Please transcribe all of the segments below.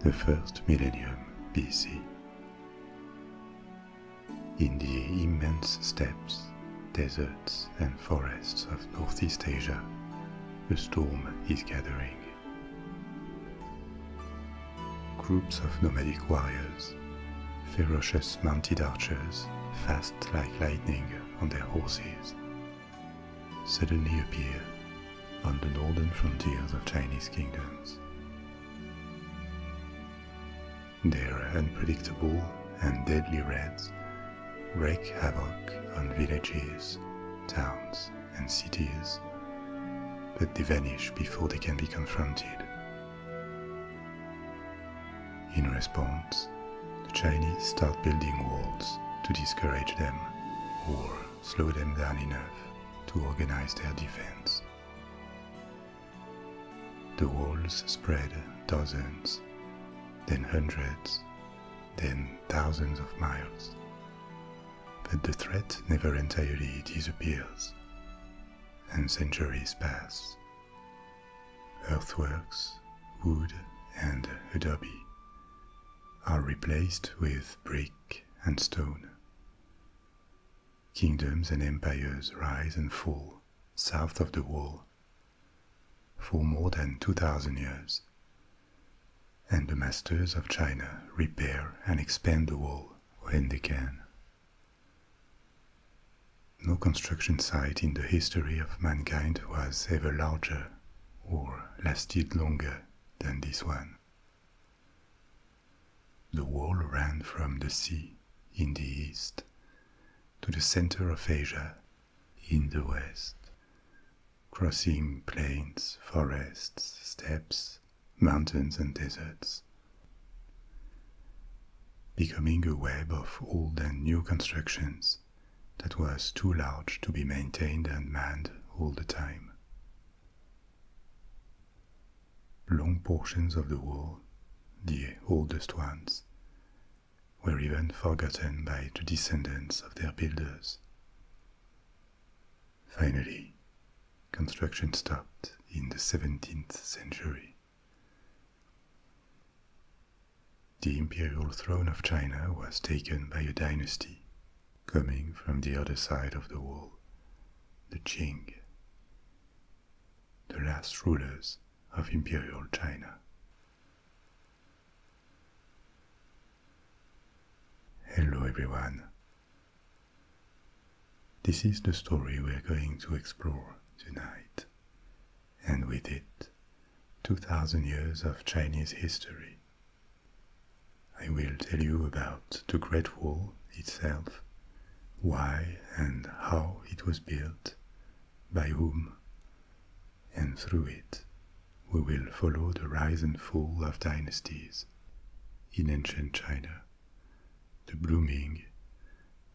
the first millennium BC. In the immense steppes, deserts, and forests of Northeast Asia, a storm is gathering. Groups of nomadic warriors, ferocious mounted archers, fast like lightning on their horses, suddenly appear on the northern frontiers of Chinese kingdoms. they're unpredictable and deadly raids wreak havoc on villages, towns, and cities, but they vanish before they can be confronted. In response, the Chinese start building walls to discourage them or slow them down enough to organize their defense. The walls spread dozens, then hundreds, then thousands of miles. But the threat never entirely disappears, and centuries pass. Earthworks, wood, and adobe are replaced with brick and stone, Kingdoms and empires rise and fall south of the wall for more than 2,000 years, and the masters of China repair and expand the wall when they can. No construction site in the history of mankind was ever larger or lasted longer than this one the wall ran from the sea in the east to the center of Asia in the west, crossing plains, forests, steppes, mountains, and deserts. Becoming a web of old and new constructions that was too large to be maintained and manned all the time. Long portions of the wall, the oldest ones, were even forgotten by the descendants of their builders. Finally, construction stopped in the 17th century. The imperial throne of China was taken by a dynasty coming from the other side of the wall, the Qing, the last rulers of imperial China. Hello everyone. This is the story we're going to explore tonight, and with it, 2000 years of Chinese history. I will tell you about the Great Wall itself, why and how it was built, by whom, and through it we will follow the rise and fall of dynasties in ancient China, the blooming,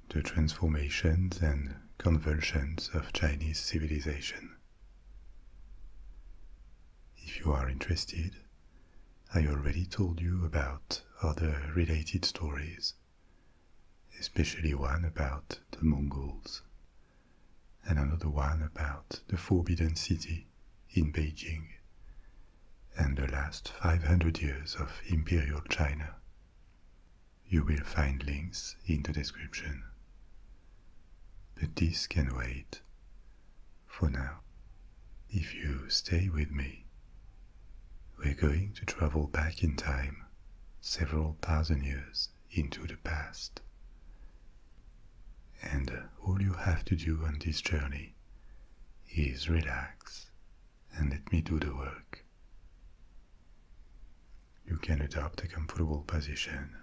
the transformations and convulsions of Chinese civilization. If you are interested, I already told you about other related stories, especially one about the Mongols, and another one about the Forbidden City in Beijing, and the last 500 years of Imperial China. You will find links in the description. But this can wait for now. If you stay with me, we're going to travel back in time several thousand years into the past. And uh, all you have to do on this journey is relax and let me do the work. You can adopt a comfortable position,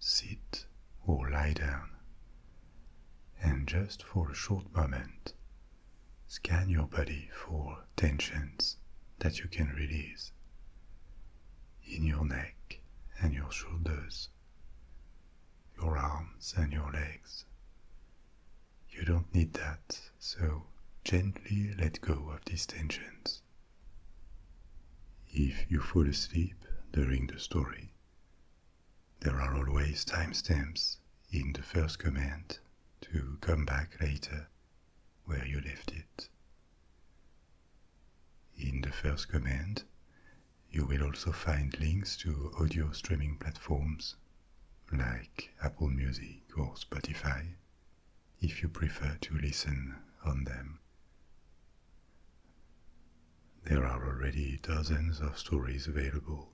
sit or lie down, and just for a short moment, scan your body for tensions that you can release in your neck and your shoulders, your arms and your legs. You don't need that, so gently let go of these tensions. If you fall asleep during the story, there are always timestamps in the first command to come back later where you left it. In the first command, you will also find links to audio streaming platforms like Apple Music or Spotify if you prefer to listen on them. There are already dozens of stories available,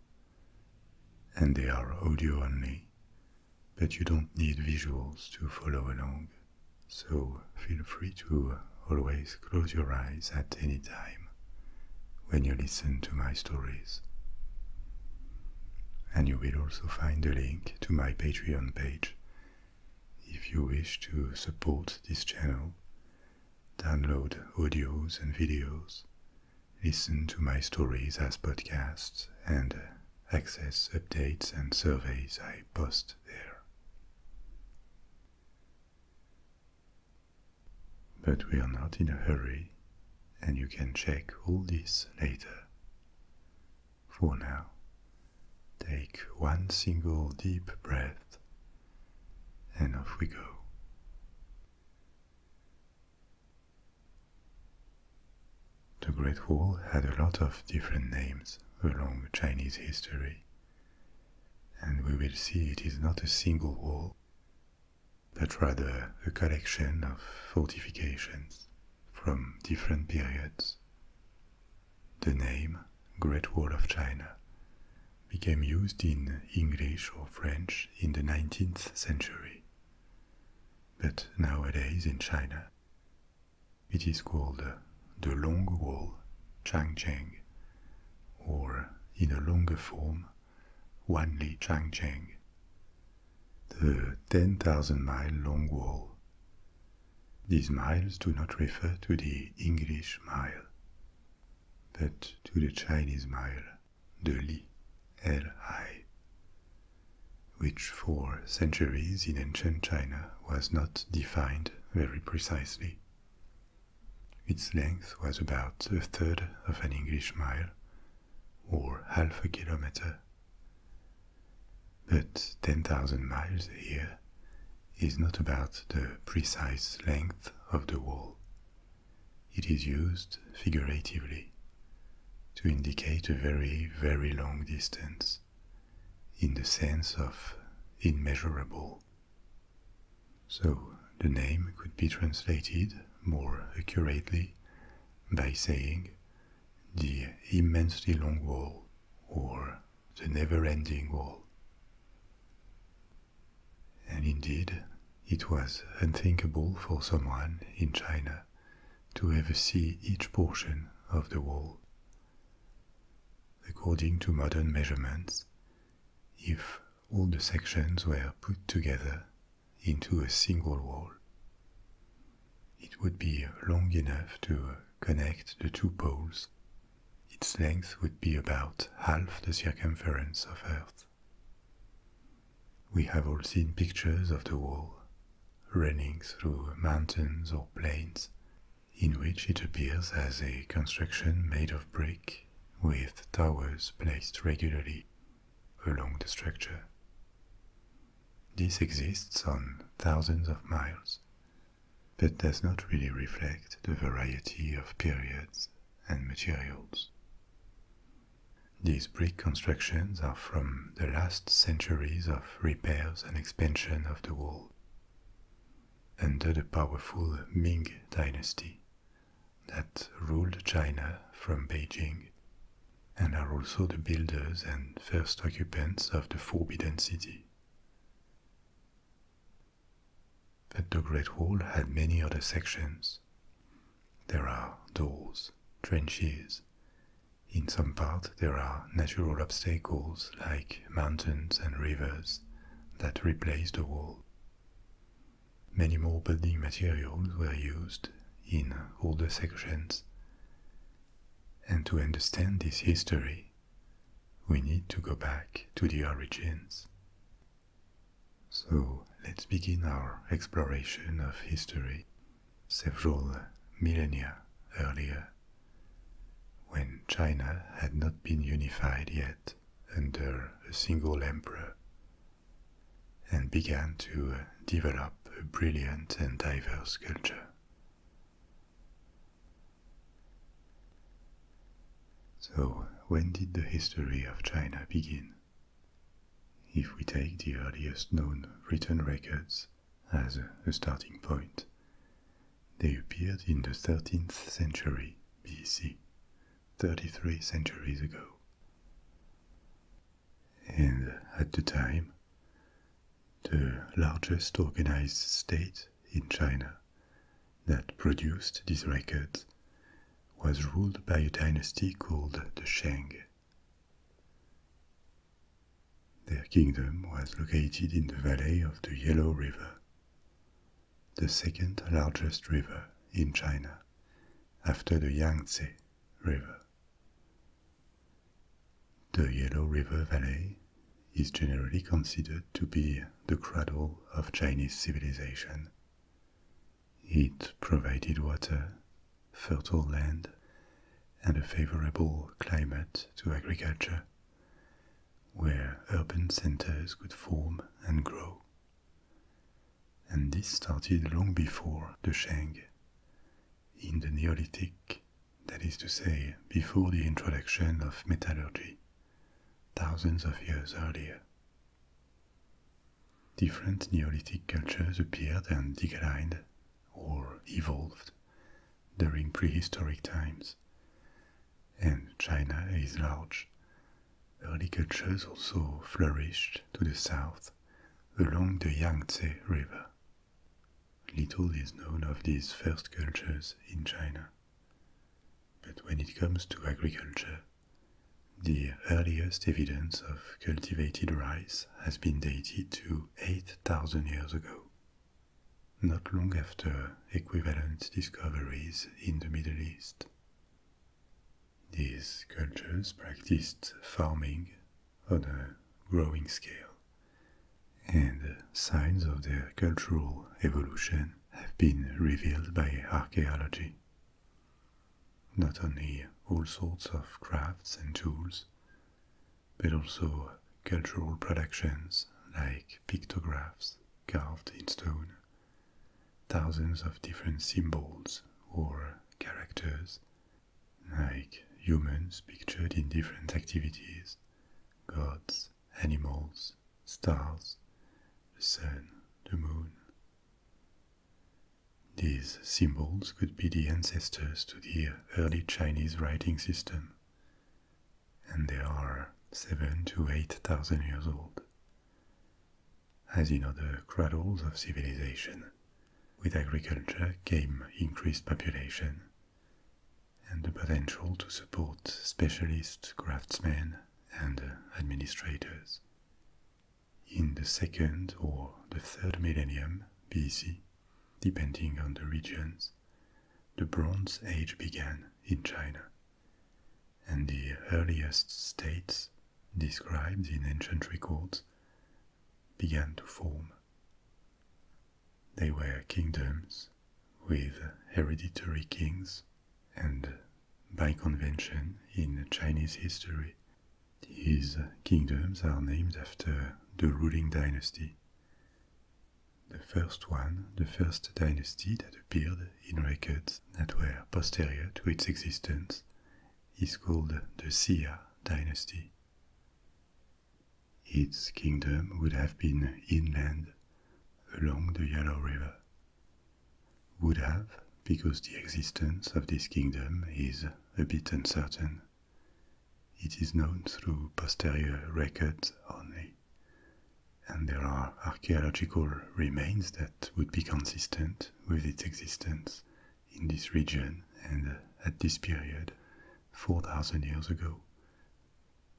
and they are audio only, but you don't need visuals to follow along, so feel free to always close your eyes at any time when you listen to my stories. And you will also find the link to my Patreon page if you wish to support this channel download audios and videos, listen to my stories as podcasts, and access updates and surveys I post there. But we are not in a hurry, and you can check all this later. For now, take one single deep breath and off we go. The Great Wall had a lot of different names along Chinese history, and we will see it is not a single wall, but rather a collection of fortifications from different periods. The name Great Wall of China became used in English or French in the 19th century. But nowadays in China, it is called uh, the Long Wall, Changcheng, or in a longer form, Wanli Changcheng, the 10,000 mile long wall. These miles do not refer to the English mile, but to the Chinese mile, the Li, Li, which for centuries in ancient China was not defined very precisely. Its length was about a third of an English mile, or half a kilometer. But 10,000 miles here is not about the precise length of the wall. It is used figuratively to indicate a very, very long distance in the sense of immeasurable. So the name could be translated more accurately by saying the immensely long wall or the never ending wall. And indeed, it was unthinkable for someone in China to ever see each portion of the wall. According to modern measurements, if all the sections were put together into a single wall, it would be long enough to connect the two poles its length would be about half the circumference of Earth. We have all seen pictures of the wall running through mountains or plains, in which it appears as a construction made of brick with towers placed regularly along the structure. This exists on thousands of miles, but does not really reflect the variety of periods and materials. These brick constructions are from the last centuries of repairs and expansion of the wall. Under the powerful Ming dynasty that ruled China from Beijing and are also the builders and first occupants of the Forbidden City. But the Great Wall had many other sections. There are doors, trenches. In some parts, there are natural obstacles like mountains and rivers that replace the wall. Many more building materials were used in all the sections. And to understand this history, we need to go back to the origins. So let's begin our exploration of history several millennia earlier, when China had not been unified yet under a single emperor and began to develop a brilliant and diverse culture. So, when did the history of China begin? If we take the earliest known written records as a starting point, they appeared in the 13th century BC, 33 centuries ago. And at the time, the largest organized state in China that produced these records was ruled by a dynasty called the Shang. Their kingdom was located in the valley of the Yellow River, the second largest river in China after the Yangtze River. The Yellow River Valley is generally considered to be the cradle of Chinese civilization. It provided water, fertile land, and a favorable climate to agriculture, where urban centers could form and grow. And this started long before the Shang. In the Neolithic, that is to say, before the introduction of metallurgy thousands of years earlier. Different Neolithic cultures appeared and declined or evolved during prehistoric times, and China is large. Early cultures also flourished to the south along the Yangtze River. Little is known of these first cultures in China. But when it comes to agriculture, the earliest evidence of cultivated rice has been dated to 8,000 years ago, not long after equivalent discoveries in the Middle East. These cultures practiced farming on a growing scale, and signs of their cultural evolution have been revealed by archaeology. Not only all sorts of crafts and tools, but also cultural productions like pictographs carved in stone, thousands of different symbols or characters, like humans pictured in different activities, gods, animals, stars, the sun, the moon. These symbols could be the ancestors to the early Chinese writing system, and they are seven to eight thousand years old. As in other cradles of civilization, with agriculture came increased population and the potential to support specialist craftsmen and administrators. In the second or the third millennium BC, depending on the regions, the Bronze Age began in China, and the earliest states described in ancient records began to form. They were kingdoms with hereditary kings, and by convention in Chinese history, his kingdoms are named after the ruling dynasty. The first one, the first dynasty that appeared in records that were posterior to its existence, is called the Xia dynasty. Its kingdom would have been inland along the Yellow River would have, because the existence of this kingdom is a bit uncertain. It is known through posterior records only, and there are archaeological remains that would be consistent with its existence in this region and at this period, 4,000 years ago,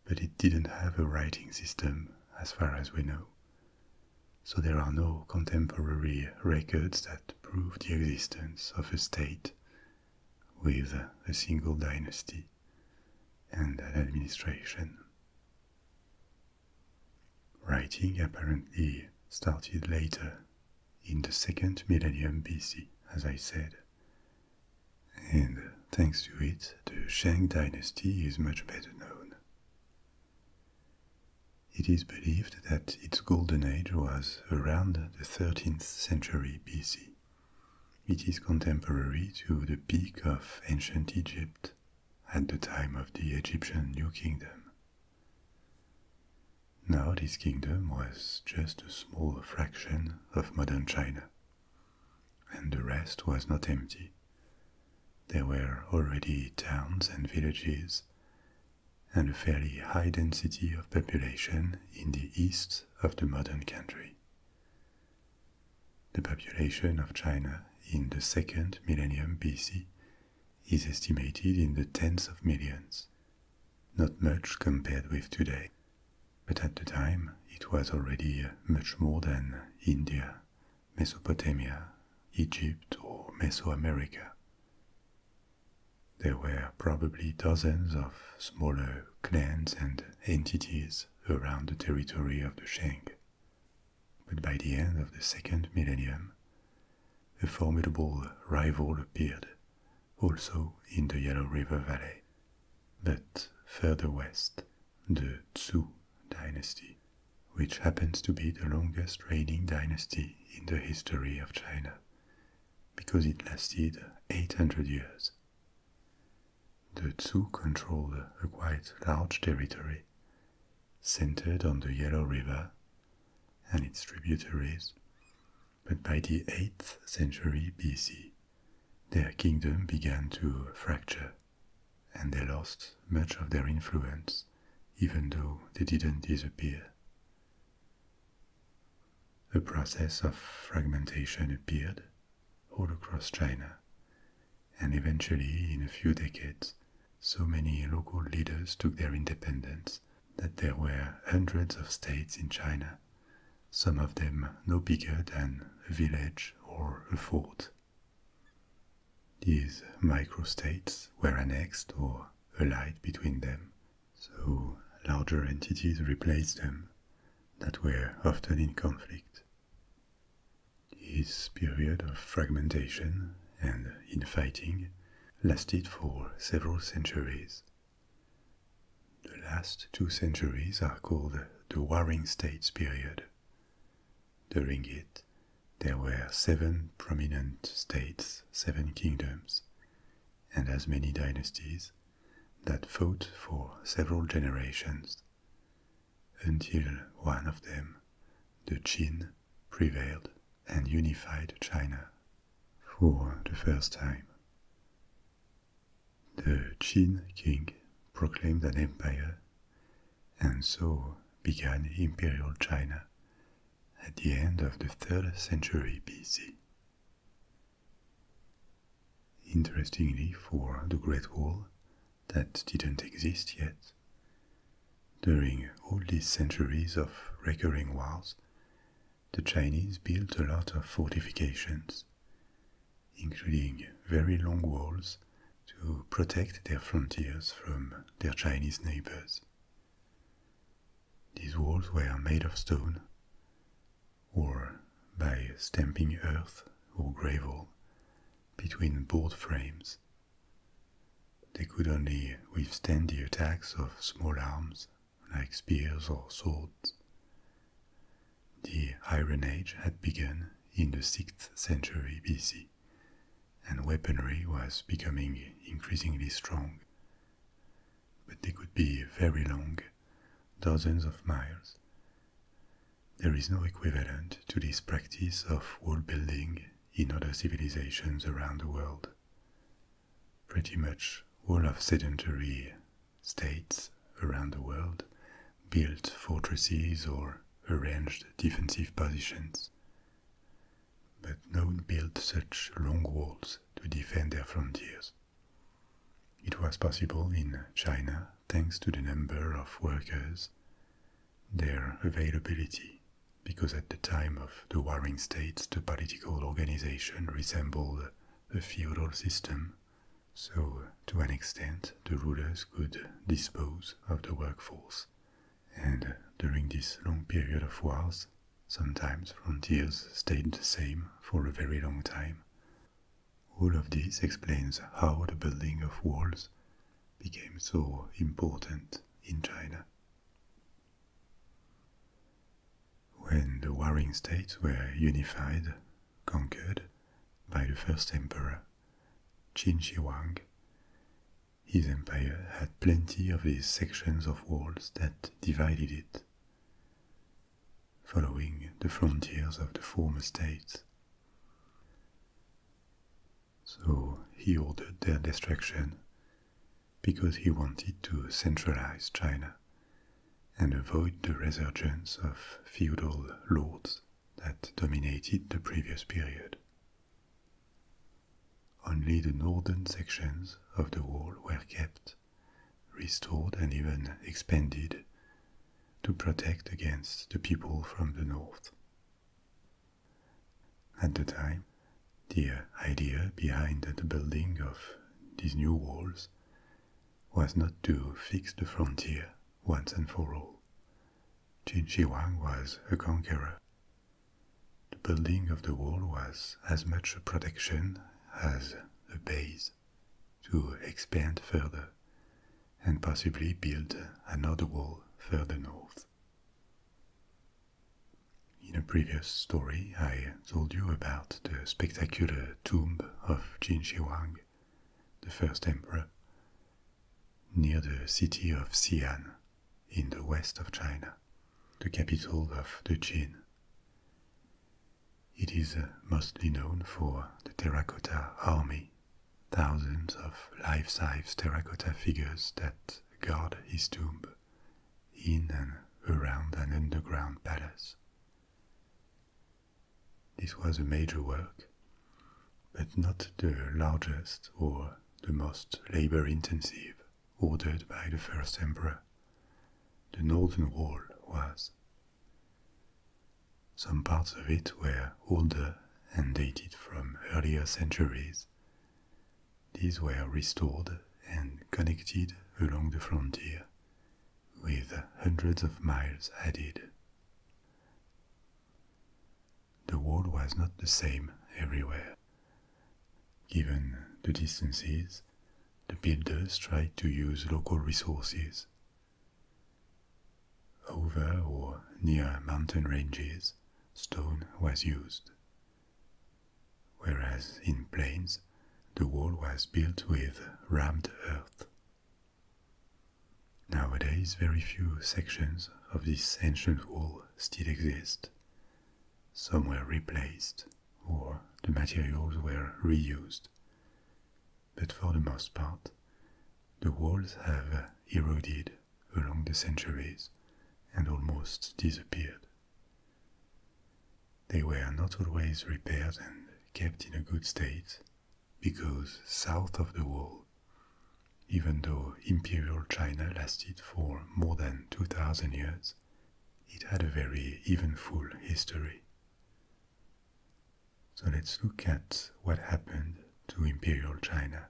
but it didn't have a writing system as far as we know. So there are no contemporary records that prove the existence of a state with a single dynasty and an administration. Writing apparently started later in the second millennium BC, as I said, and thanks to it, the Shang dynasty is much better known. It is believed that its golden age was around the 13th century BC. It is contemporary to the peak of ancient Egypt at the time of the Egyptian New Kingdom. Now, this kingdom was just a small fraction of modern China and the rest was not empty. There were already towns and villages, and a fairly high density of population in the east of the modern country. The population of China in the second millennium BC is estimated in the tens of millions, not much compared with today, but at the time it was already much more than India Mesopotamia, Egypt, or Mesoamerica. There were probably dozens of smaller clans and entities around the territory of the Shang. But by the end of the second millennium, a formidable rival appeared, also in the Yellow River Valley, but further west the Tzu dynasty, which happens to be the longest reigning dynasty in the history of China, because it lasted 800 years. The Tzu controlled a quite large territory, centered on the Yellow River and its tributaries, but by the 8th century BC, their kingdom began to fracture and they lost much of their influence, even though they didn't disappear. A process of fragmentation appeared all across China, and eventually, in a few decades, so many local leaders took their independence that there were hundreds of states in China, some of them no bigger than a village or a fort. These microstates were annexed or allied between them, so larger entities replaced them that were often in conflict. This period of fragmentation and infighting lasted for several centuries. The last two centuries are called the Warring States period. During it, there were seven prominent states, seven kingdoms, and as many dynasties that fought for several generations until one of them, the Qin, prevailed and unified China for the first time. The Qin king proclaimed an empire and so began Imperial China at the end of the 3rd century BC. Interestingly, for the Great Wall that didn't exist yet, during all these centuries of recurring wars, the Chinese built a lot of fortifications, including very long walls to protect their frontiers from their Chinese neighbors. These walls were made of stone or by stamping earth or gravel between board frames. They could only withstand the attacks of small arms like spears or swords. The Iron Age had begun in the 6th century BC, and weaponry was becoming increasingly strong. But they could be very long, dozens of miles. There is no equivalent to this practice of wall building in other civilizations around the world. Pretty much all of sedentary states around the world built fortresses or arranged defensive positions. But no one built such long walls to defend their frontiers. It was possible in China thanks to the number of workers, their availability, because at the time of the warring states the political organization resembled a feudal system so to an extent the rulers could dispose of the workforce. And during this long period of wars, sometimes frontiers stayed the same for a very long time. All of this explains how the building of walls became so important in China. When the warring states were unified, conquered by the first emperor, Qin Shi Huang. His empire had plenty of these sections of walls that divided it. Following the frontiers of the former states. So he ordered their destruction because he wanted to centralize China and avoid the resurgence of feudal lords that dominated the previous period. Only the northern sections of the wall were kept, restored and even expanded to protect against the people from the north. At the time, the idea behind the building of these new walls was not to fix the frontier once and for all. Shi Jinjiwang was a conqueror. The building of the wall was as much a protection as a base to expand further and possibly build another wall further north. In a previous story, I told you about the spectacular tomb of Jin Shi Huang the first emperor, near the city of Xi'an in the west of China, the capital of the Qin. It is uh, mostly known for the terracotta army, thousands of life-size terracotta figures that guard his tomb in and around an underground palace. This was a major work, but not the largest or the most labor-intensive ordered by the first emperor. The northern wall was. Some parts of it were older and dated from earlier centuries. These were restored and connected along the frontier, with hundreds of miles added. The wall was not the same everywhere. Given the distances, the builders tried to use local resources. Over or near mountain ranges, stone was used, whereas in plains, the wall was built with rammed earth. Nowadays, very few sections of this ancient wall still exist. Some were replaced, or the materials were reused. But for the most part, the walls have eroded along the centuries and almost disappeared. They were not always repaired and kept in a good state because south of the wall, even though imperial China lasted for more than 2000 years, it had a very eventful history. So let's look at what happened to imperial China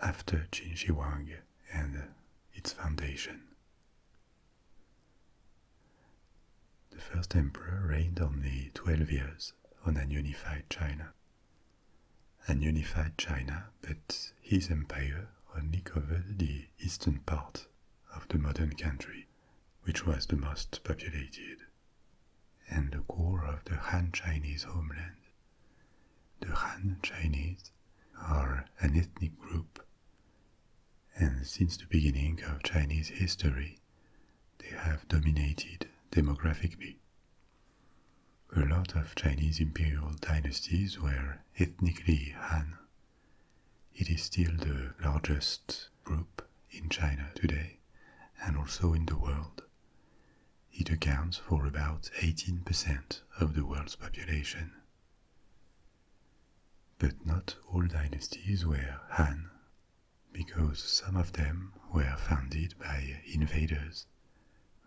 after Qin Shi Huang and its foundation. The first emperor reigned only 12 years on an unified China and unified China, but his empire only covered the eastern part of the modern country, which was the most populated, and the core of the Han Chinese homeland. The Han Chinese are an ethnic group, and since the beginning of Chinese history, they have dominated demographically. A lot of Chinese imperial dynasties were ethnically Han. It is still the largest group in China today and also in the world. It accounts for about 18% of the world's population. But not all dynasties were Han because some of them were founded by invaders,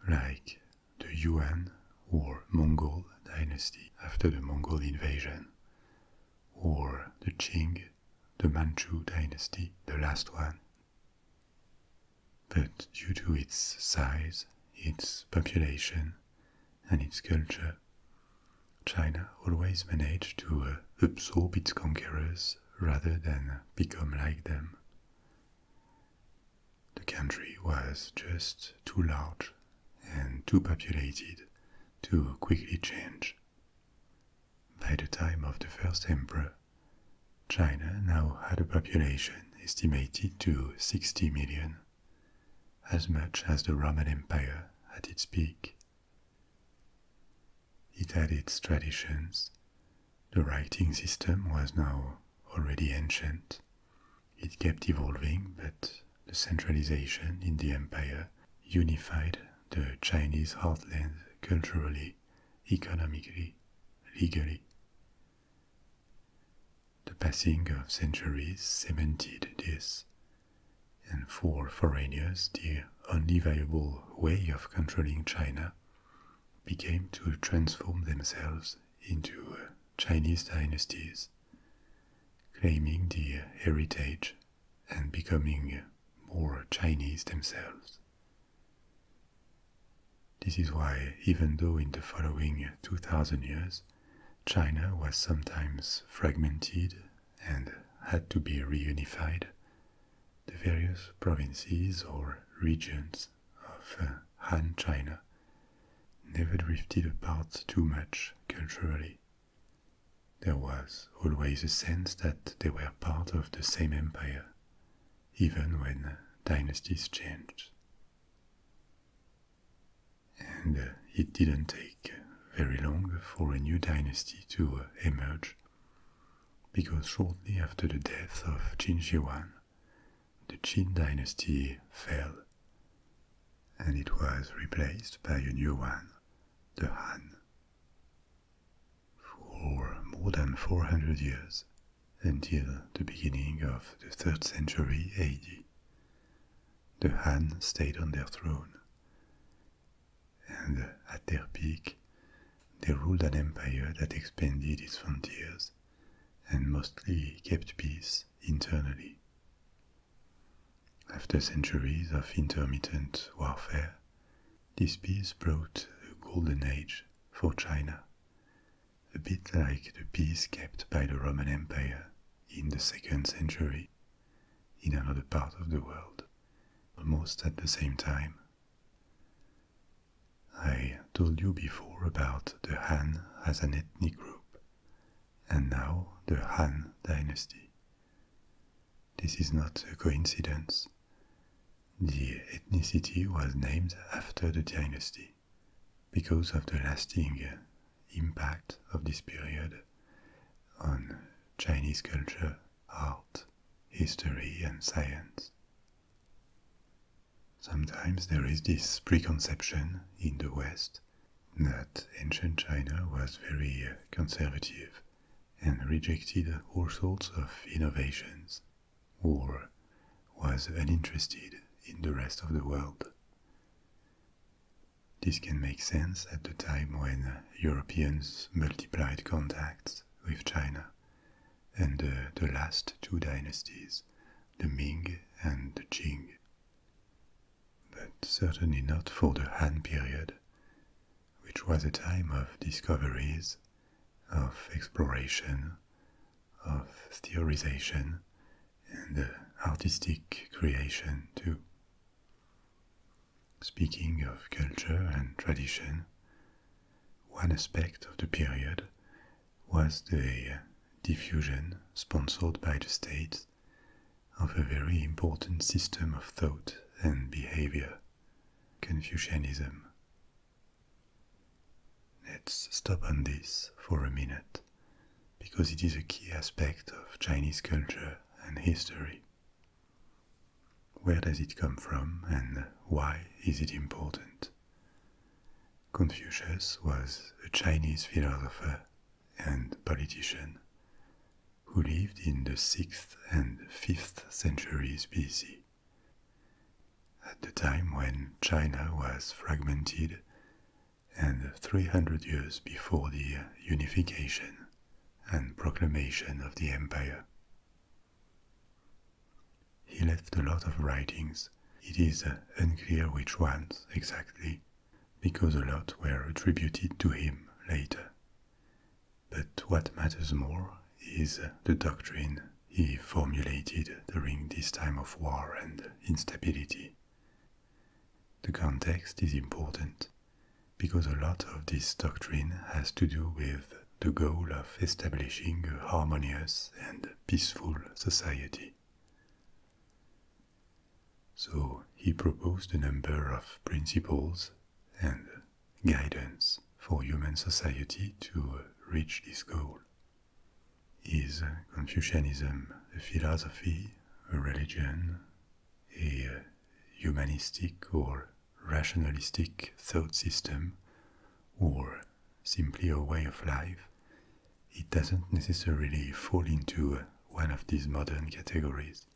like the Yuan or Mongol dynasty after the Mongol invasion, or the Qing, the Manchu dynasty, the last one. But due to its size, its population, and its culture, China always managed to absorb its conquerors rather than become like them. The country was just too large and too populated to quickly change. By the time of the first emperor, China now had a population estimated to 60 million, as much as the Roman Empire at its peak it had its traditions. The writing system was now already ancient. It kept evolving, but the centralization in the empire unified the Chinese heartland culturally, economically, legally. The passing of centuries cemented this, and for foreigners, the only viable way of controlling China China began to transform themselves into uh, Chinese dynasties, claiming the heritage and becoming uh, more Chinese themselves. This is why, even though in the following 2000 years, China was sometimes fragmented and had to be reunified, the various provinces or regions of uh, Han China never drifted apart too much culturally. There was always a sense that they were part of the same empire, even when dynasties changed. And uh, it didn't take very long for a new dynasty to uh, emerge because shortly after the death of Jin Shi the Qin dynasty fell, and it was replaced by a new one, the Han. For more than 400 years, until the beginning of the 3rd century AD, the Han stayed on their throne and at their peak, they ruled an empire that expanded its frontiers and mostly kept peace internally. After centuries of intermittent warfare, this peace brought a golden age for China, a bit like the peace kept by the Roman Empire in the second century in another part of the world, almost at the same time I told you before about the Han as an ethnic group, and now the Han dynasty. This is not a coincidence. The ethnicity was named after the dynasty because of the lasting impact of this period on Chinese culture art, history, and science. Sometimes there is this preconception in the West that ancient China was very uh, conservative and rejected all sorts of innovations or was uninterested in the rest of the world. This can make sense at the time when Europeans multiplied contacts with China, and uh, the last two dynasties, the Ming and the Qing. But certainly not for the Han period, which was a time of discoveries, of exploration, of theorization, and uh, artistic creation too. Speaking of culture and tradition, one aspect of the period was the diffusion sponsored by the state of a very important system of thought and behavior, Confucianism. Let's stop on this for a minute because it is a key aspect of Chinese culture and history. Where does it come from and why is it important? Confucius was a Chinese philosopher and politician who lived in the 6th and 5th centuries BC. At the time when China was fragmented and 300 years before the unification and proclamation of the empire. He left a lot of writings. It is uh, unclear which ones exactly, because a lot were attributed to him later. But what matters more is uh, the doctrine he formulated during this time of war and instability. The context is important because a lot of this doctrine has to do with the goal of establishing a harmonious and peaceful society. So he proposed a number of principles and guidance for human society to reach this goal. Is Confucianism a philosophy, a religion, a humanistic or rationalistic thought system or simply a way of life, it doesn't necessarily fall into one of these modern categories,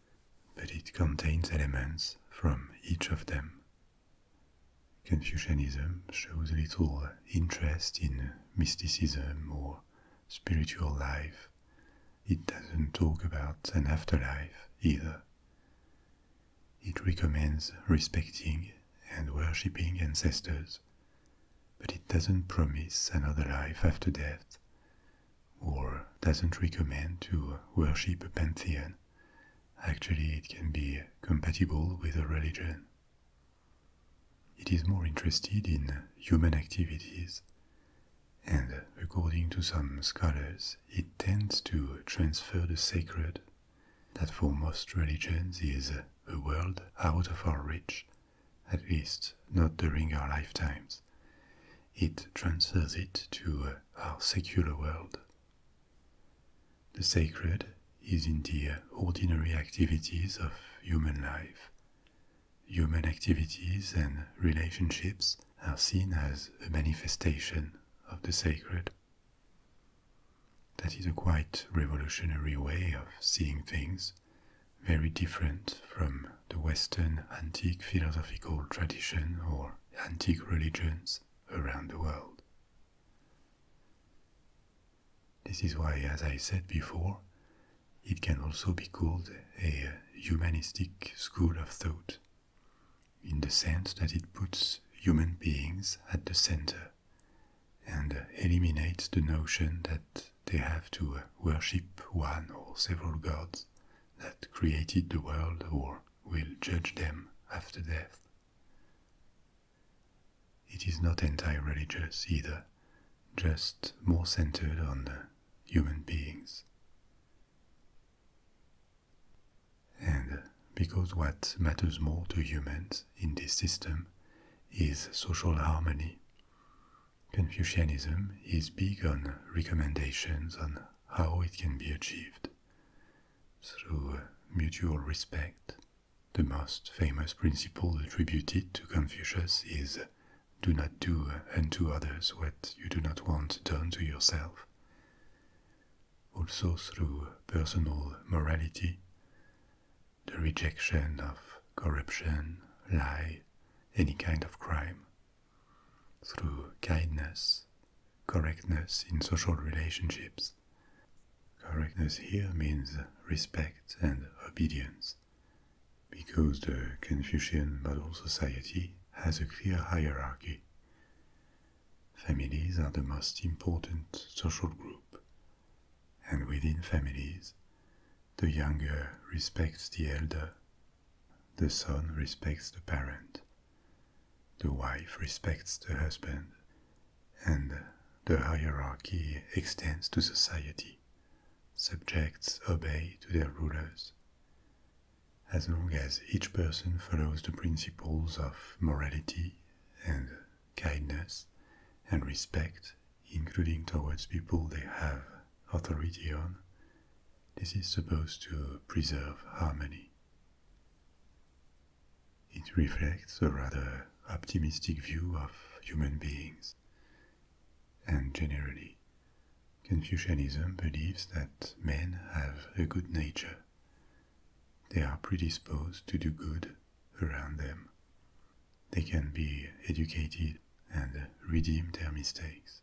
but it contains elements from each of them. Confucianism shows little interest in mysticism or spiritual life. It doesn't talk about an afterlife either. It recommends respecting and worshipping ancestors, but it doesn't promise another life after death, or doesn't recommend to worship a pantheon. Actually, it can be compatible with a religion. It is more interested in human activities, and according to some scholars, it tends to transfer the sacred, that for most religions is a world out of our reach, at least not during our lifetimes. It transfers it to our secular world. The sacred is in the ordinary activities of human life. Human activities and relationships are seen as a manifestation of the sacred. That is a quite revolutionary way of seeing things, very different from the Western antique philosophical tradition or antique religions around the world. This is why, as I said before, it can also be called a humanistic school of thought in the sense that it puts human beings at the center and eliminates the notion that they have to uh, worship one or several gods that created the world or will judge them after death. It is not anti-religious either, just more centered on human beings. And because what matters more to humans in this system is social harmony, Confucianism is big on recommendations on how it can be achieved through mutual respect. The most famous principle attributed to Confucius is do not do unto others what you do not want done to yourself also through personal morality, the rejection of corruption, lie, any kind of crime, through kindness, correctness in social relationships. Correctness here means respect and obedience, because the Confucian model society has a clear hierarchy. Families are the most important social group, and within families, the younger respects the elder, the son respects the parent, the wife respects the husband, and the hierarchy extends to society. Subjects obey to their rulers as long as each person follows the principles of morality and kindness and respect, including towards people they have authority on, this is supposed to preserve harmony. It reflects a rather optimistic view of human beings. And generally, Confucianism believes that men have a good nature they are predisposed to do good around them. They can be educated and redeem their mistakes.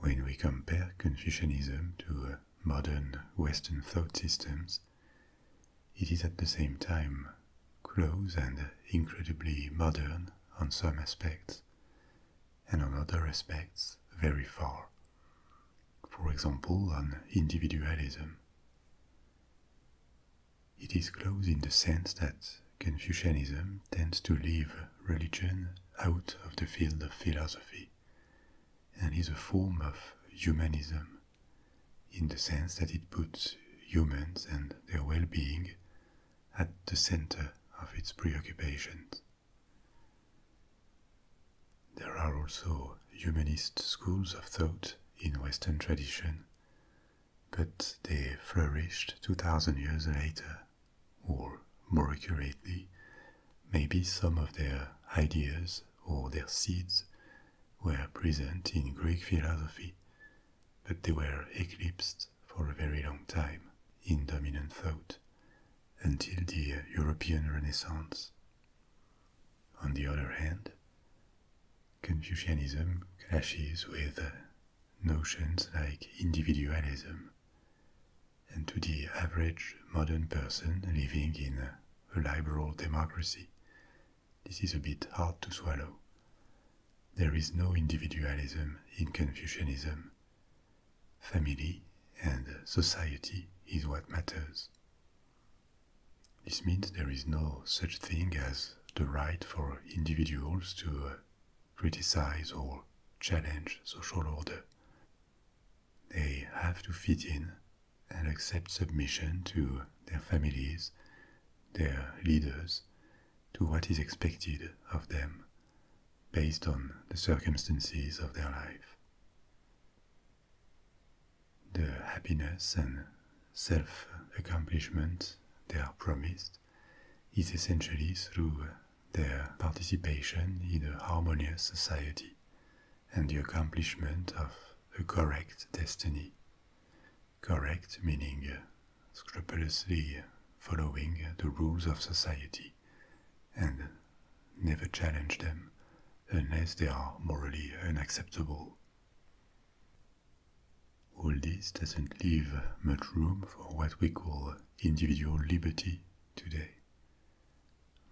When we compare Confucianism to uh, modern Western thought systems, it is at the same time close and incredibly modern on some aspects, and on other aspects very far. For example, on individualism. It is close in the sense that Confucianism tends to leave religion out of the field of philosophy and is a form of humanism in the sense that it puts humans and their well being at the center of its preoccupations. There are also humanist schools of thought in Western tradition, but they flourished 2000 years later, or more accurately, maybe some of their ideas or their seeds were present in Greek philosophy, but they were eclipsed for a very long time in dominant thought until the European Renaissance. On the other hand, Confucianism clashes with notions like individualism, and to the average modern person living in a liberal democracy, this is a bit hard to swallow. There is no individualism in Confucianism, Family and society is what matters. This means there is no such thing as the right for individuals to uh, criticize or challenge social order. They have to fit in and accept submission to their families, their leaders, to what is expected of them based on the circumstances of their life. The happiness and self accomplishment they are promised is essentially through their participation in a harmonious society and the accomplishment of a correct destiny. Correct meaning scrupulously following the rules of society and never challenge them unless they are morally unacceptable. All this doesn't leave much room for what we call individual liberty today,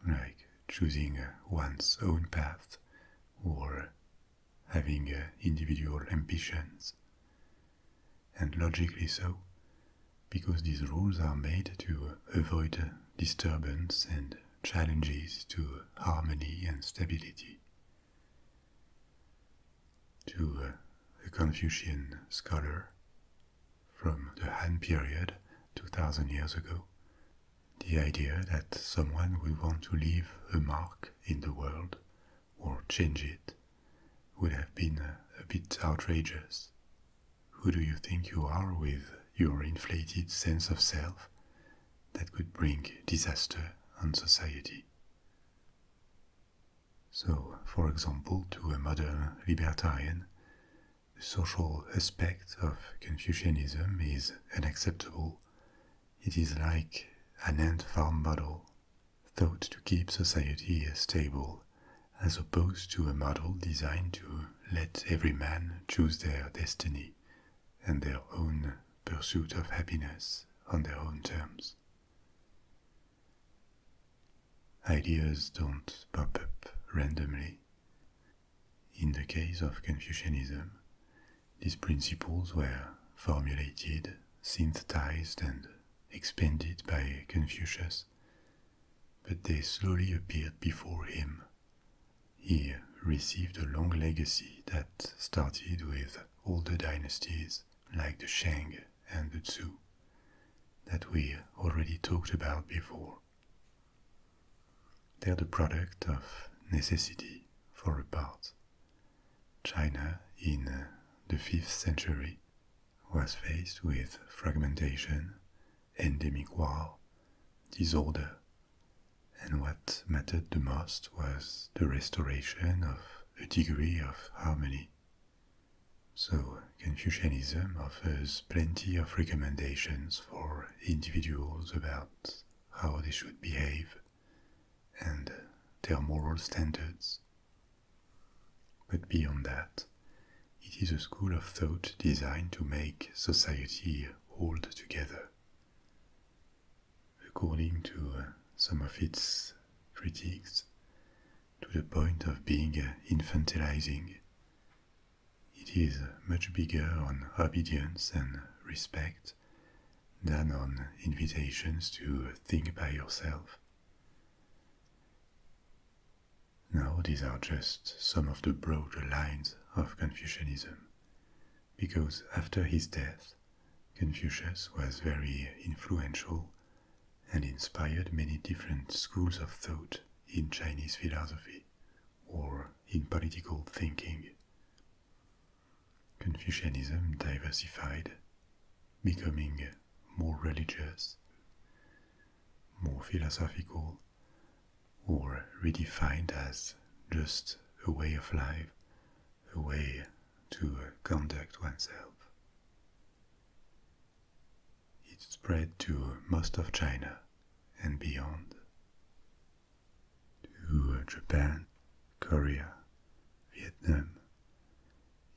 like choosing one's own path or having individual ambitions and logically so, because these rules are made to avoid disturbance and challenges to harmony and stability. To a uh, Confucian scholar from the Han period, 2000 years ago, the idea that someone will want to leave a mark in the world or change it would have been a bit outrageous. Who do you think you are with your inflated sense of self that could bring disaster on society? So, for example, to a modern libertarian, the social aspect of Confucianism is unacceptable. It is like an ant farm model thought to keep society stable, as opposed to a model designed to let every man choose their destiny and their own pursuit of happiness on their own terms. Ideas don't pop up randomly. In the case of Confucianism, these principles were formulated, synthesized, and expanded by Confucius but they slowly appeared before him. He received a long legacy that started with older dynasties like the Shang and the Tzu that we already talked about before. They're the product of necessity for a part. China in the 5th century was faced with fragmentation, endemic war, disorder, and what mattered the most was the restoration of a degree of harmony. So, Confucianism offers plenty of recommendations for individuals about how they should behave and their moral standards. But beyond that, it is a school of thought designed to make society hold together. According to uh, some of its critics, to the point of being uh, infantilizing, it is much bigger on obedience and respect than on invitations to think by yourself. Now, these are just some of the broader lines of Confucianism, because after his death, Confucius was very influential and inspired many different schools of thought in Chinese philosophy or in political thinking. Confucianism diversified, becoming more religious, more philosophical, or redefined as just a way of life, a way to conduct oneself. It spread to most of China and beyond, to Japan, Korea, Vietnam,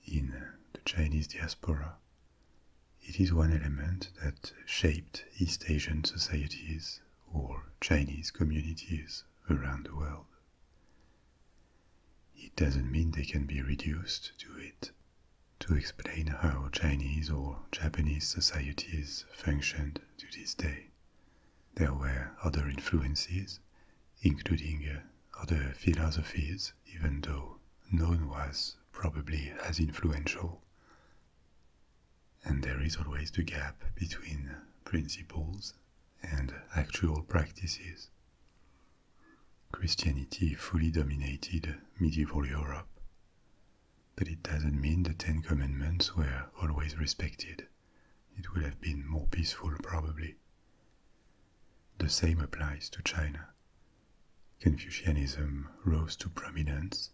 in the Chinese diaspora it is one element that shaped East Asian societies or Chinese communities around the world. It doesn't mean they can be reduced to it. To explain how Chinese or Japanese societies functioned to this day, there were other influences, including uh, other philosophies even though none was probably as influential. And there is always the gap between principles and actual practices. Christianity fully dominated medieval Europe, but it doesn't mean the Ten Commandments were always respected. It would have been more peaceful, probably. The same applies to China, Confucianism rose to prominence,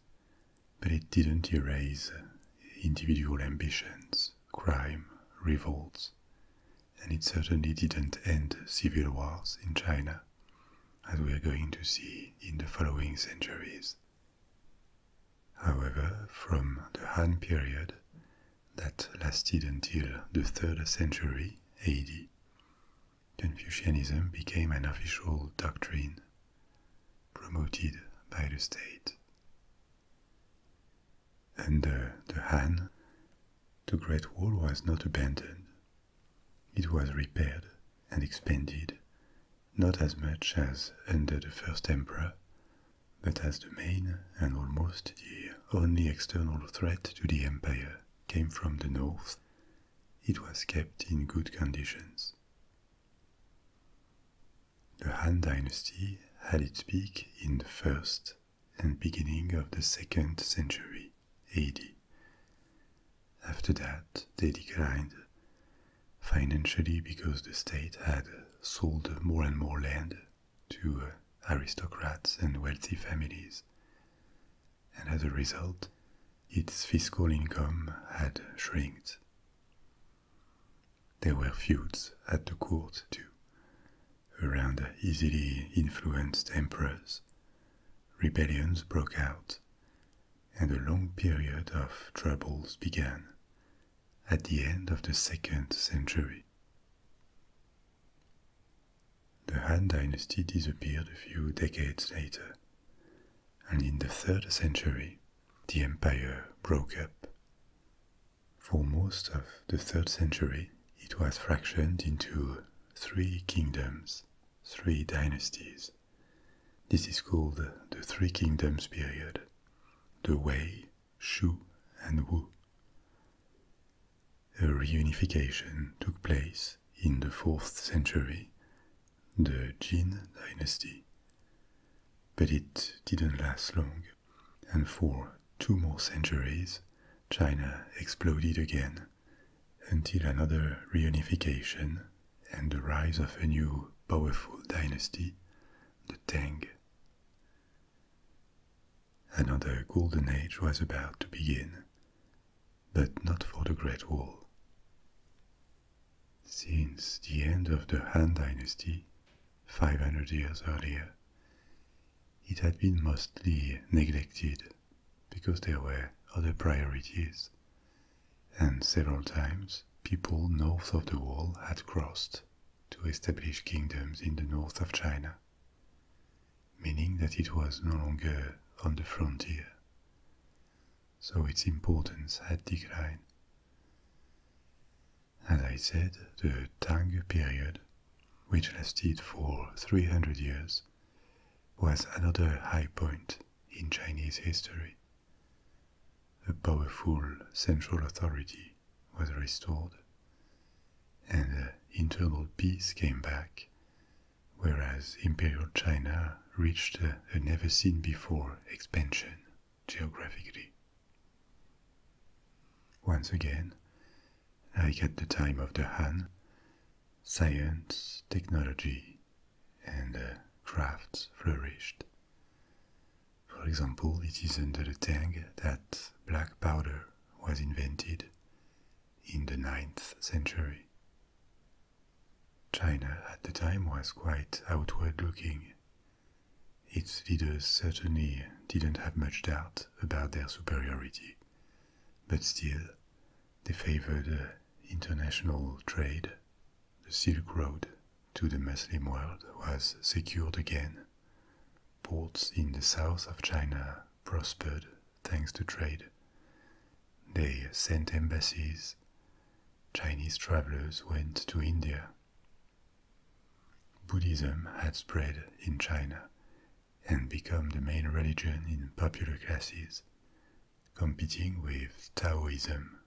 but it didn't erase individual ambitions, crime, revolts, and it certainly didn't end civil wars in China, as we are going to see in the following centuries. However, from the Han period, that lasted until the 3rd century AD, Confucianism became an official doctrine promoted by the state. Under the Han, the Great Wall was not abandoned. It was repaired and expanded, not as much as under the first emperor, but as the main and almost the only external threat to the empire came from the north, it was kept in good conditions. The Han dynasty had its peak in the first and beginning of the second century AD. After that, they declined, financially because the state had sold more and more land to uh, aristocrats and wealthy families, and as a result, its fiscal income had shrinked. There were feuds at the court too, around easily influenced emperors. Rebellions broke out, and a long period of troubles began at the end of the second century. The Han dynasty disappeared a few decades later, and in the third century, the empire broke up. For most of the third century, it was fractioned into three kingdoms, three dynasties. This is called the Three Kingdoms period the Wei, Shu, and Wu. A reunification took place in the 4th century, the Jin dynasty. But it didn't last long, and for two more centuries, China exploded again until another reunification and the rise of a new powerful dynasty, the Tang. Another golden age was about to begin but not for the Great Wall. Since the end of the Han dynasty, 500 years earlier, it had been mostly neglected because there were other priorities, and several times people north of the wall had crossed to establish kingdoms in the north of China meaning that it was no longer on the frontier. So its importance had declined. As I said, the Tang period, which lasted for 300 years, was another high point in Chinese history. A powerful central authority was restored, and internal peace came back, whereas Imperial China reached a, never seen before expansion geographically. Once again, like at the time of the Han, science, technology, and uh, crafts flourished. For example, it is under the Tang that black powder was invented in the 9th century. China at the time was quite outward looking. Its leaders certainly didn't have much doubt about their superiority, but still, they favored uh, international trade. The Silk Road to the Muslim world was secured again. Ports in the south of China prospered thanks to trade. They sent embassies. Chinese travelers went to India. Buddhism had spread in China and become the main religion in popular classes, competing with Taoism.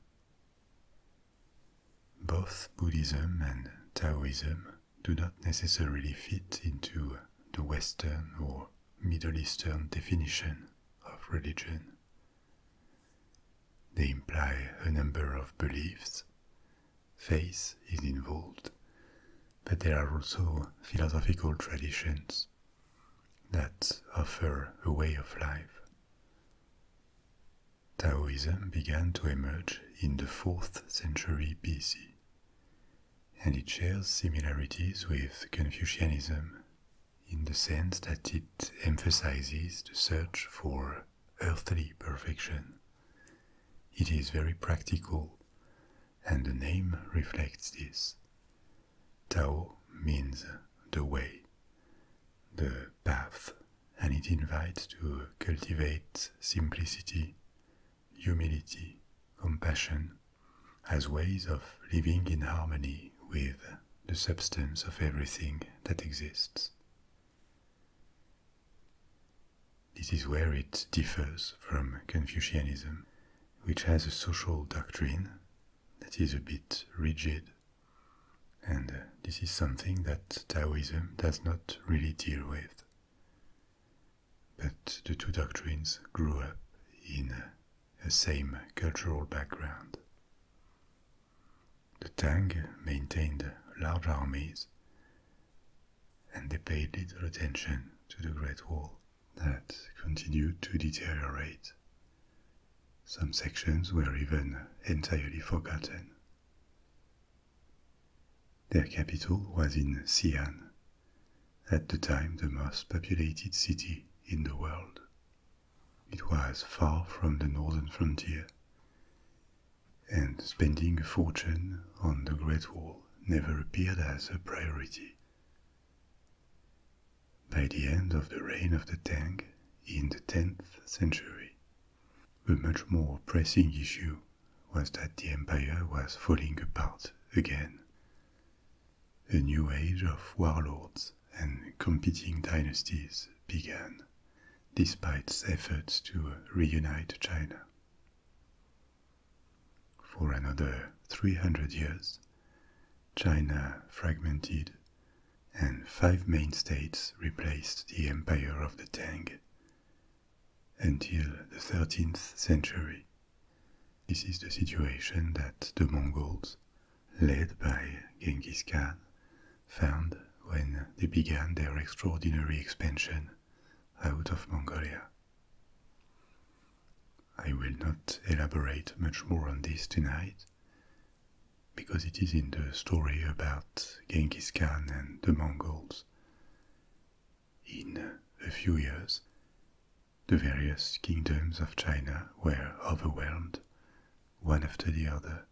Both Buddhism and Taoism do not necessarily fit into the Western or Middle Eastern definition of religion. They imply a number of beliefs. Faith is involved, but there are also philosophical traditions that offer a way of life. Taoism began to emerge in the 4th century BC and it shares similarities with Confucianism in the sense that it emphasizes the search for earthly perfection. It is very practical, and the name reflects this. Tao means the way, the path, and it invites to cultivate simplicity, humility, compassion, as ways of living in harmony with the substance of everything that exists. This is where it differs from Confucianism, which has a social doctrine that is a bit rigid, and this is something that Taoism does not really deal with. But the two doctrines grew up in a same cultural background. The Tang maintained large armies, and they paid little attention to the Great Wall that continued to deteriorate. Some sections were even entirely forgotten. Their capital was in Xi'an, at the time the most populated city in the world. It was far from the northern frontier, and spending a fortune on the Great Wall never appeared as a priority. By the end of the reign of the Tang in the 10th century, a much more pressing issue was that the empire was falling apart again. A new age of warlords and competing dynasties began, despite efforts to reunite China. For another 300 years, China fragmented and five main states replaced the empire of the Tang, until the 13th century. This is the situation that the Mongols, led by Genghis Khan, found when they began their extraordinary expansion out of Mongolia. I will not elaborate much more on this tonight because it is in the story about Genghis Khan and the Mongols. In a few years, the various kingdoms of China were overwhelmed, one after the other,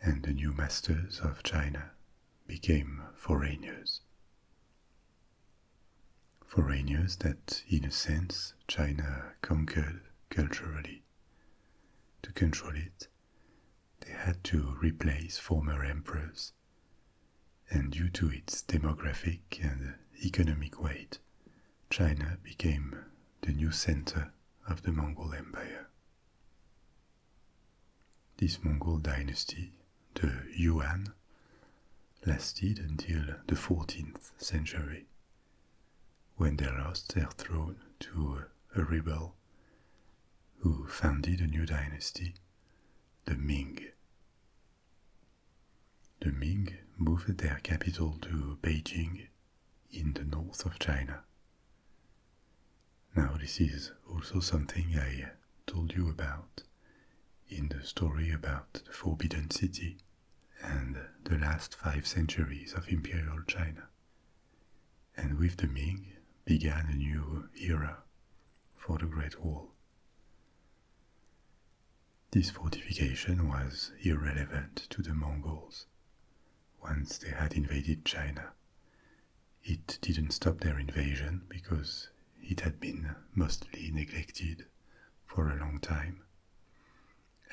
and the new masters of China became foreigners. Foreigners that, in a sense, China conquered culturally. To control it, they had to replace former emperors and due to its demographic and economic weight, China became the new center of the Mongol Empire. This Mongol dynasty, the Yuan, lasted until the 14th century, when they lost their throne to a rebel who founded a new dynasty the Ming. The Ming moved their capital to Beijing in the north of China. Now, this is also something I told you about in the story about the Forbidden City and the last five centuries of Imperial China. And with the Ming began a new era for the Great Wall. This fortification was irrelevant to the Mongols. Once they had invaded China, it didn't stop their invasion because it had been mostly neglected for a long time.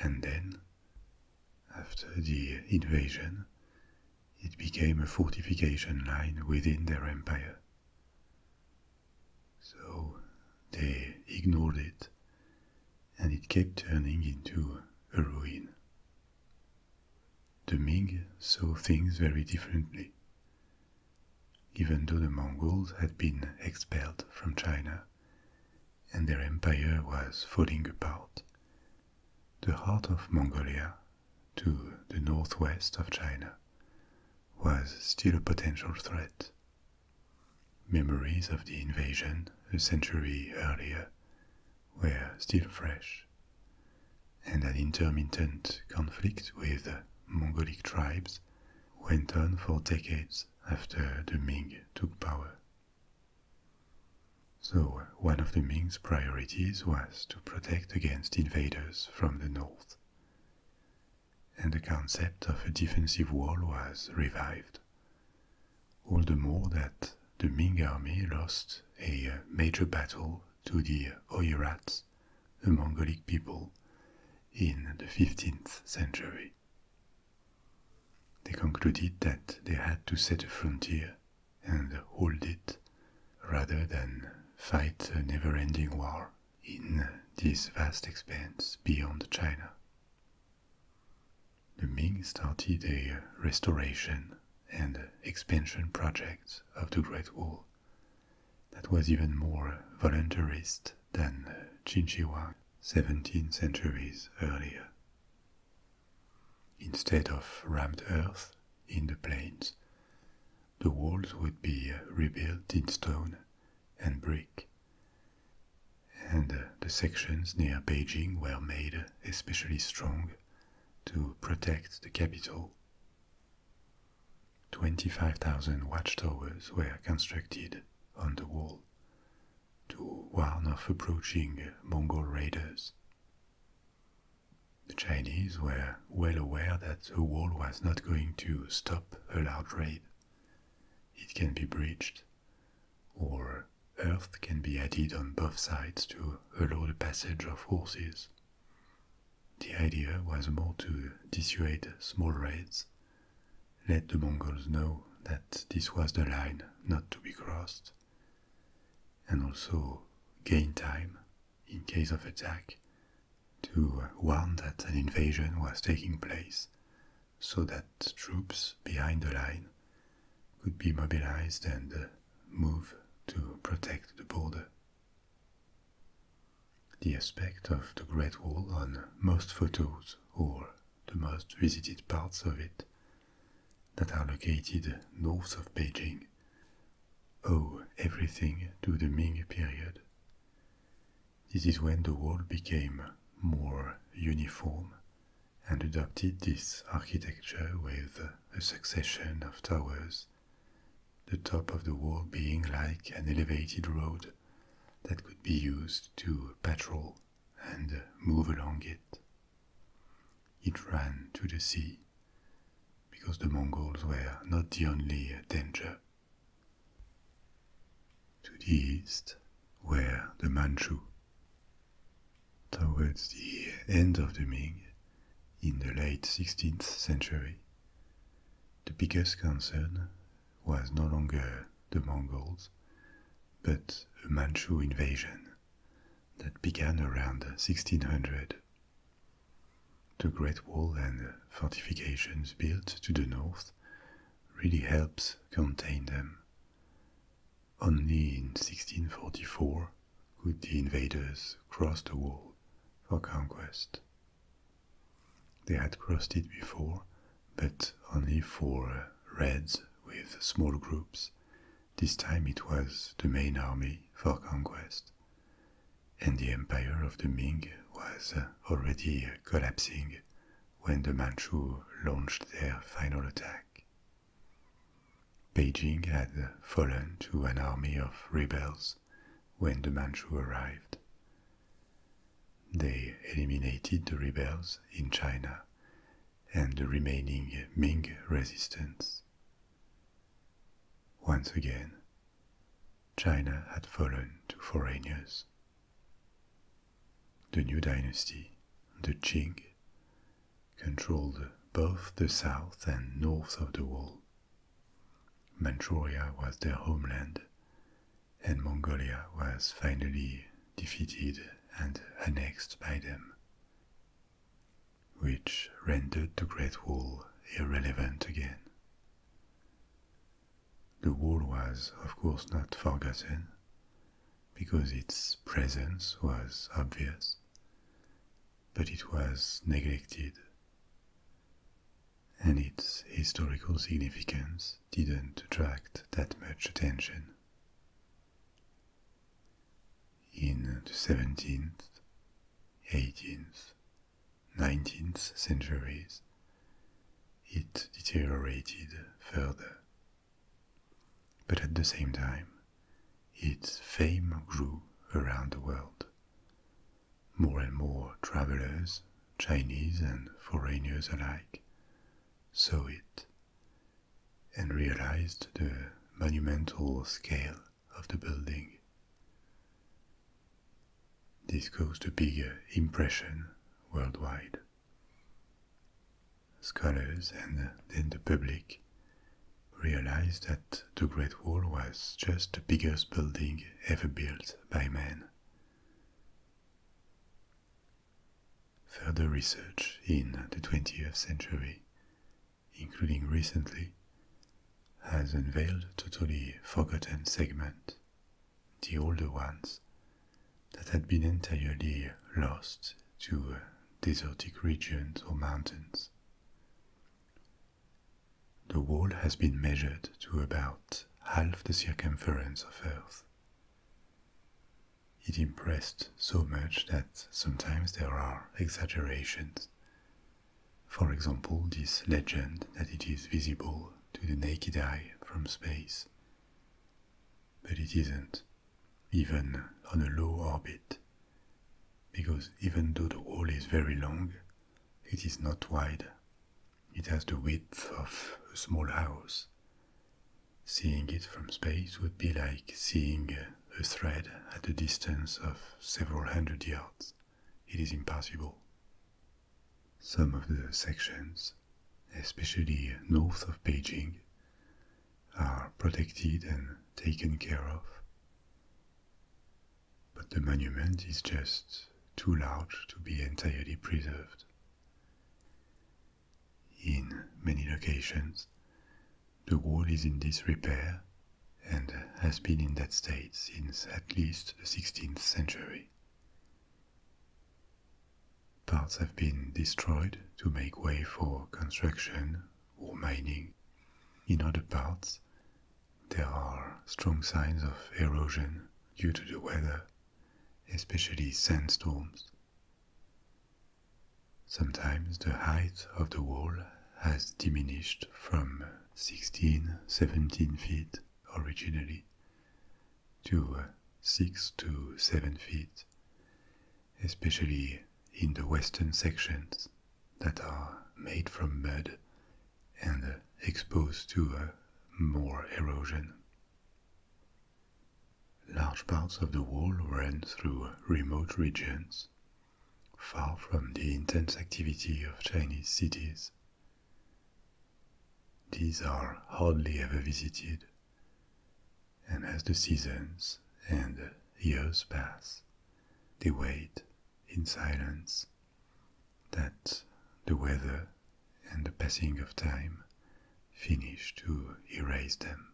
And then, after the invasion, it became a fortification line within their empire. So they ignored it, and it kept turning into a ruin. The Ming saw things very differently. Even though the Mongols had been expelled from China and their empire was falling apart, the heart of Mongolia to the northwest of China was still a potential threat. Memories of the invasion a century earlier were still fresh, and an intermittent conflict with Mongolic tribes went on for decades after the Ming took power. So, one of the Ming's priorities was to protect against invaders from the north, and the concept of a defensive wall was revived. All the more that the Ming army lost a uh, major battle to the Oirats, a Mongolic people, in the 15th century. They concluded that they had to set a frontier and hold it rather than fight a never ending war in this vast expanse beyond China. The Ming started a restoration and expansion project of the Great Wall that was even more voluntarist than Qin Huang 17 centuries earlier. Instead of rammed earth in the plains, the walls would be uh, rebuilt in stone and brick. And uh, the sections near Beijing were made uh, especially strong to protect the capital. 25,000 watchtowers were constructed on the wall to warn of approaching Mongol raiders. The Chinese were well aware that the wall was not going to stop a large raid. It can be breached, or earth can be added on both sides to allow the passage of horses. The idea was more to dissuade small raids, let the Mongols know that this was the line not to be crossed, and also gain time in case of attack, to warn that an invasion was taking place so that troops behind the line could be mobilized and uh, move to protect the border. The aspect of the Great Wall on most photos or the most visited parts of it that are located north of Beijing owe everything to the Ming period. This is when the wall became more uniform and adopted this architecture with a succession of towers, the top of the wall being like an elevated road that could be used to patrol and move along it. It ran to the sea, because the Mongols were not the only danger. To the east were the Manchu. Towards the end of the Ming, in the late 16th century, the biggest concern was no longer the Mongols, but a Manchu invasion that began around 1600 the Great Wall and fortifications built to the north really helps contain them. Only in 1644 could the invaders cross the wall for conquest. They had crossed it before, but only for raids with small groups. This time it was the main army for conquest, and the empire of the Ming was uh, already uh, collapsing when the Manchu launched their final attack. Beijing had uh, fallen to an army of rebels when the Manchu arrived. They eliminated the rebels in China and the remaining Ming resistance. Once again, China had fallen to foreigners. The new dynasty, the Qing, controlled both the south and north of the wall. Manchuria was their homeland, and Mongolia was finally defeated and annexed by them, which rendered the Great Wall irrelevant again the wall was, of course, not forgotten, because its presence was obvious, but it was neglected, and its historical significance didn't attract that much attention. In the 17th, 18th, 19th centuries, it deteriorated further. But at the same time, its fame grew around the world. More and more travelers, Chinese and foreigners alike, saw it and realized the monumental scale of the building. This caused a bigger impression worldwide. Scholars and then the public realized that the Great Wall was just the biggest building ever built by man. Further research in the 20th century, including recently, has unveiled totally forgotten segments, the older ones, that had been entirely lost to uh, desertic regions or mountains. The wall has been measured to about half the circumference of Earth. It impressed so much that sometimes there are exaggerations, for example, this legend that it is visible to the naked eye from space. But it isn't, even on a low orbit, because even though the hole is very long, it is not wide. It has the width of a small house. Seeing it from space would be like seeing a thread at a distance of several hundred yards it is impossible. Some of the sections, especially north of Beijing, are protected and taken care of. But the monument is just too large to be entirely preserved. In many locations, the wall is in disrepair and has been in that state since at least the 16th century. Parts have been destroyed to make way for construction or mining. In other parts, there are strong signs of erosion due to the weather, especially sandstorms. Sometimes the height of the wall has diminished from 16, 17 feet originally to uh, 6 to 7 feet, especially in the western sections that are made from mud and uh, exposed to uh, more erosion. Large parts of the wall ran through remote regions far from the intense activity of Chinese cities. These are hardly ever visited, and as the seasons and years pass, they wait in silence that the weather and the passing of time finish to erase them.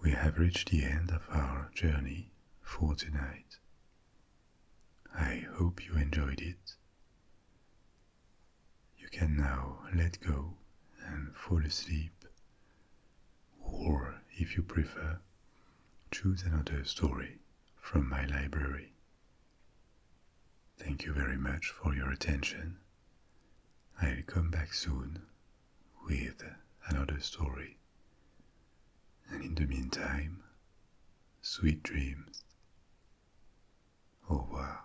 We have reached the end of our journey for tonight. I hope you enjoyed it. You can now let go and fall asleep, or if you prefer, choose another story from my library. Thank you very much for your attention. I'll come back soon with another story. And in the meantime, sweet dreams. Au revoir.